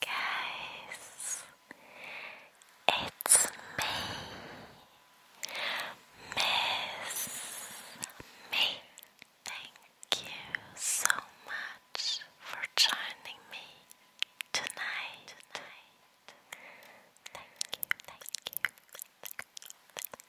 Guys, it's me, Miss Me. Thank you so much for joining me tonight. Thank you, thank you, thank you, thank you, thank you,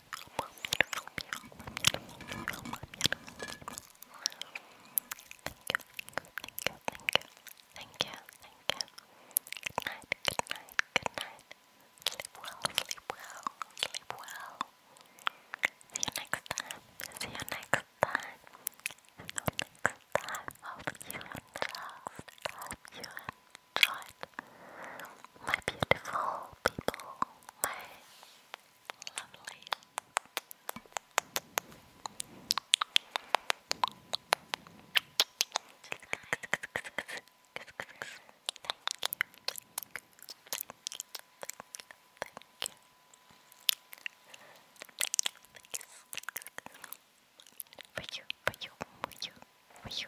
thank you, thank you. Good night, good night, good night. Sleep well, sleep well, sleep well. See you next time. See you next time. See you next time. Hope you enjoyed. Hope you enjoyed. My beautiful people. Lovely. Thank you. Thank you. Thank you. For you, for you, for you, for you.